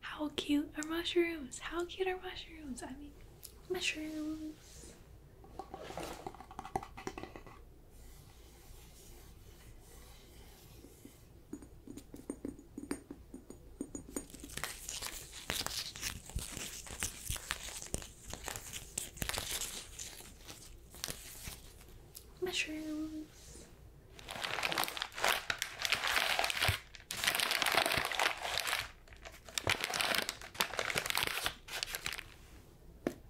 How cute are mushrooms? How cute are mushrooms? I mean, mushrooms. Mushrooms.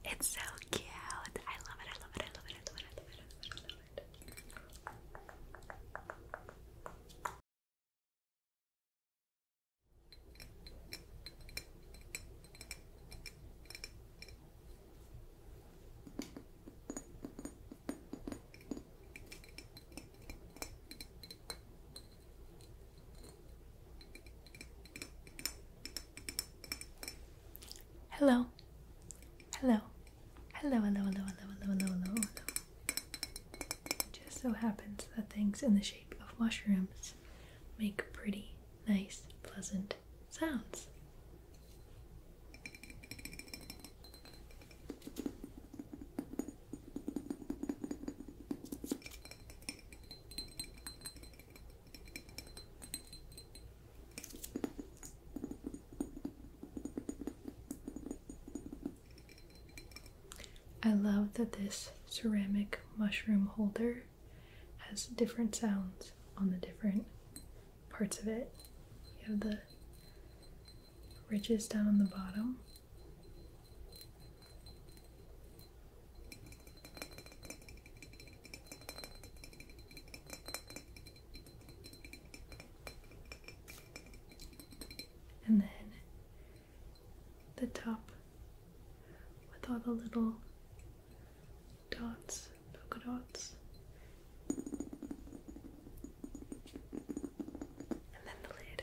It's so cute. I love it. I love it. I love it. I love it. I love it. I love it. Hello. Hello. Hello, hello, hello, hello, hello, hello, hello, hello. It just so happens that things in the shape of mushrooms make pretty nice, pleasant sounds. I love that this ceramic mushroom holder has different sounds on the different parts of it. You have the ridges down on the bottom. And then the top with all the little dots, polka dots. And then the lid.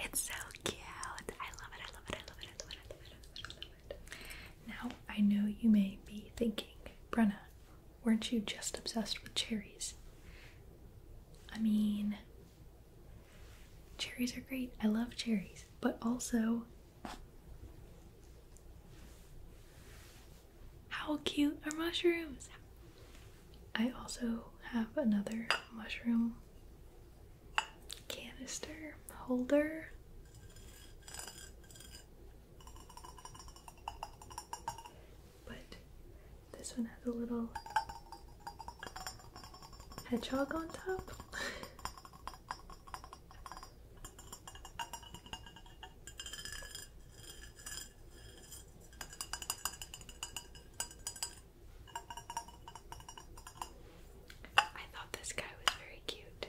It's so cute. I love it. I love it. I love it. I love it. I love it. I love it. I love it. Now, I know you may be thinking, Brenna, weren't you just obsessed with cherries? I mean, cherries are great. I love cherries. But also, how cute are mushrooms? I also have another mushroom canister holder. But this one has a little hedgehog on top. I thought this guy was very cute.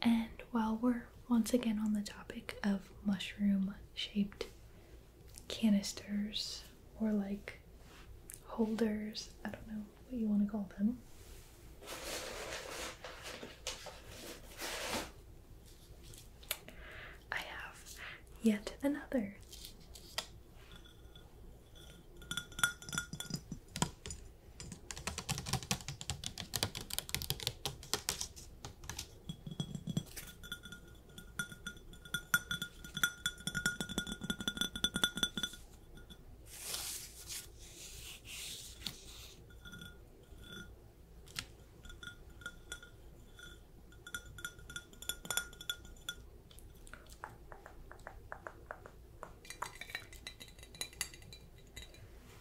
And while we're once again on the topic of mushroom shaped canisters or like holders, I don't know, what you want to call them. I have yet another.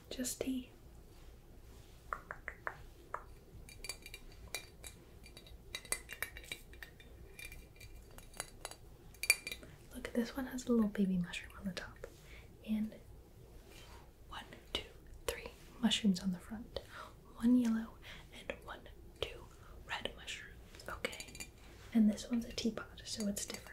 Just tea. Look, this one has a little baby mushroom on the top. And one, two, three mushrooms on the front. One yellow and one, two red mushrooms. Okay. And this one's a teapot, so it's different.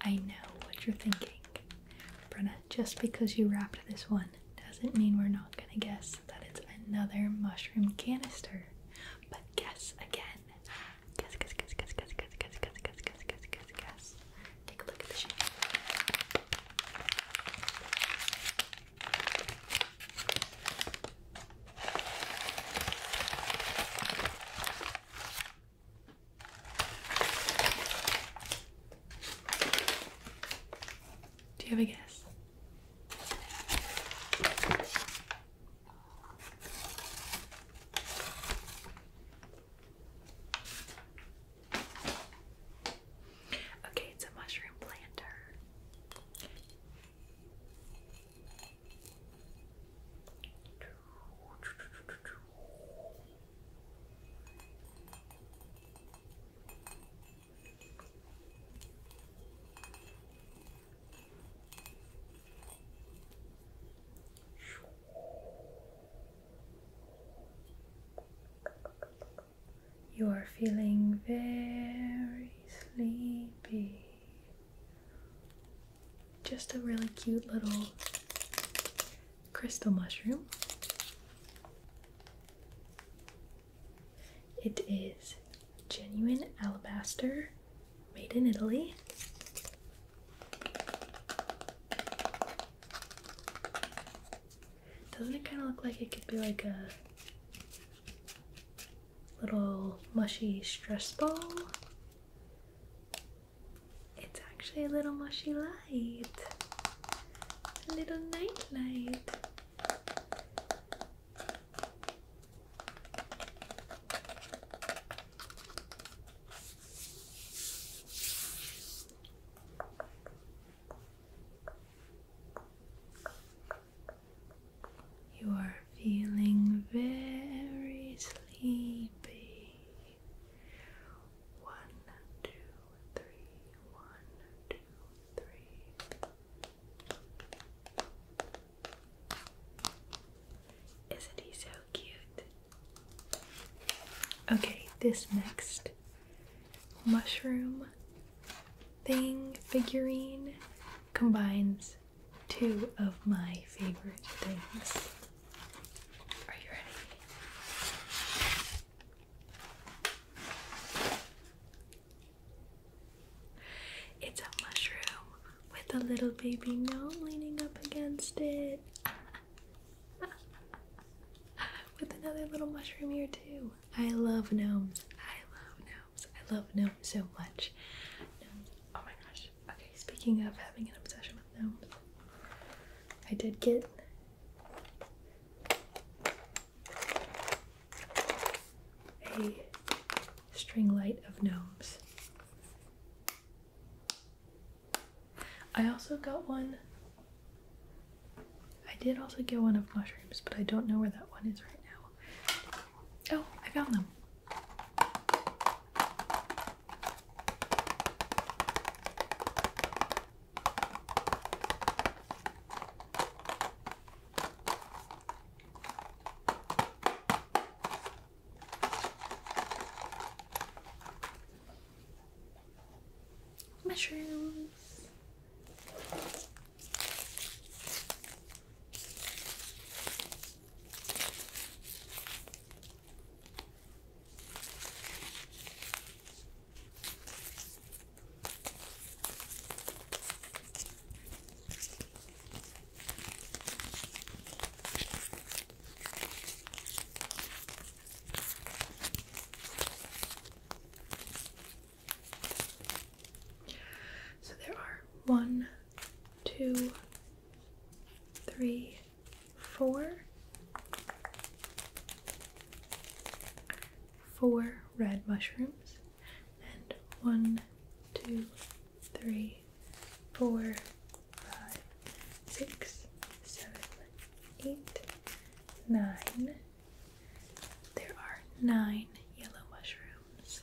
I know what you're thinking. Brenna, just because you wrapped this one doesn't mean we're not gonna guess that is another mushroom canister. But guess again. Guess, guess, guess, guess, guess, guess, guess, guess, guess, guess, guess, Take a look at the shape. Do you have a guess? Okay, it's a mushroom planter. You are feeling very sleepy. Just a really cute little crystal mushroom. It is genuine alabaster made in Italy. Doesn't it kind of look like it could be like a little mushy stress ball? It's actually a little mushy love a little night light. You are feeling very sleepy. One, two, one, two, three. Isn't he so cute? Okay, this next mushroom thing figurine combines two of my favorite things. Are you ready? It's a mushroom with a little baby gnome leaning up against it. with another little mushroom here, too. I love gnomes. I love gnomes. I love gnomes so much. Gnomes. Oh my gosh. Okay, speaking of having an obsession with gnomes, I did get a string light of gnomes. I also got one. I did also get one of mushrooms, but I don't know where that one is right now. Oh, I found them. Mushrooms. So there are one, two, three, four four red mushrooms and one two three four five six seven eight nine there are nine yellow mushrooms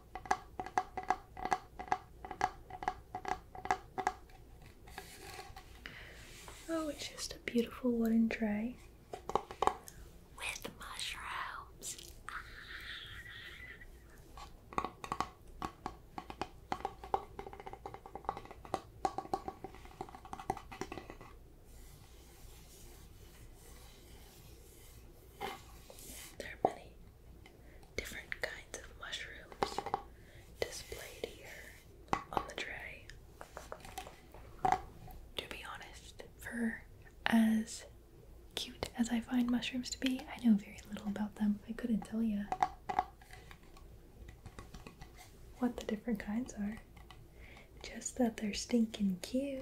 Oh, it's just a beautiful wooden tray with mushrooms. There are many different kinds of mushrooms displayed here on the tray. To be honest, for as cute as I find mushrooms to be, I know very little about them. I couldn't tell you what the different kinds are. Just that they're stinking cute.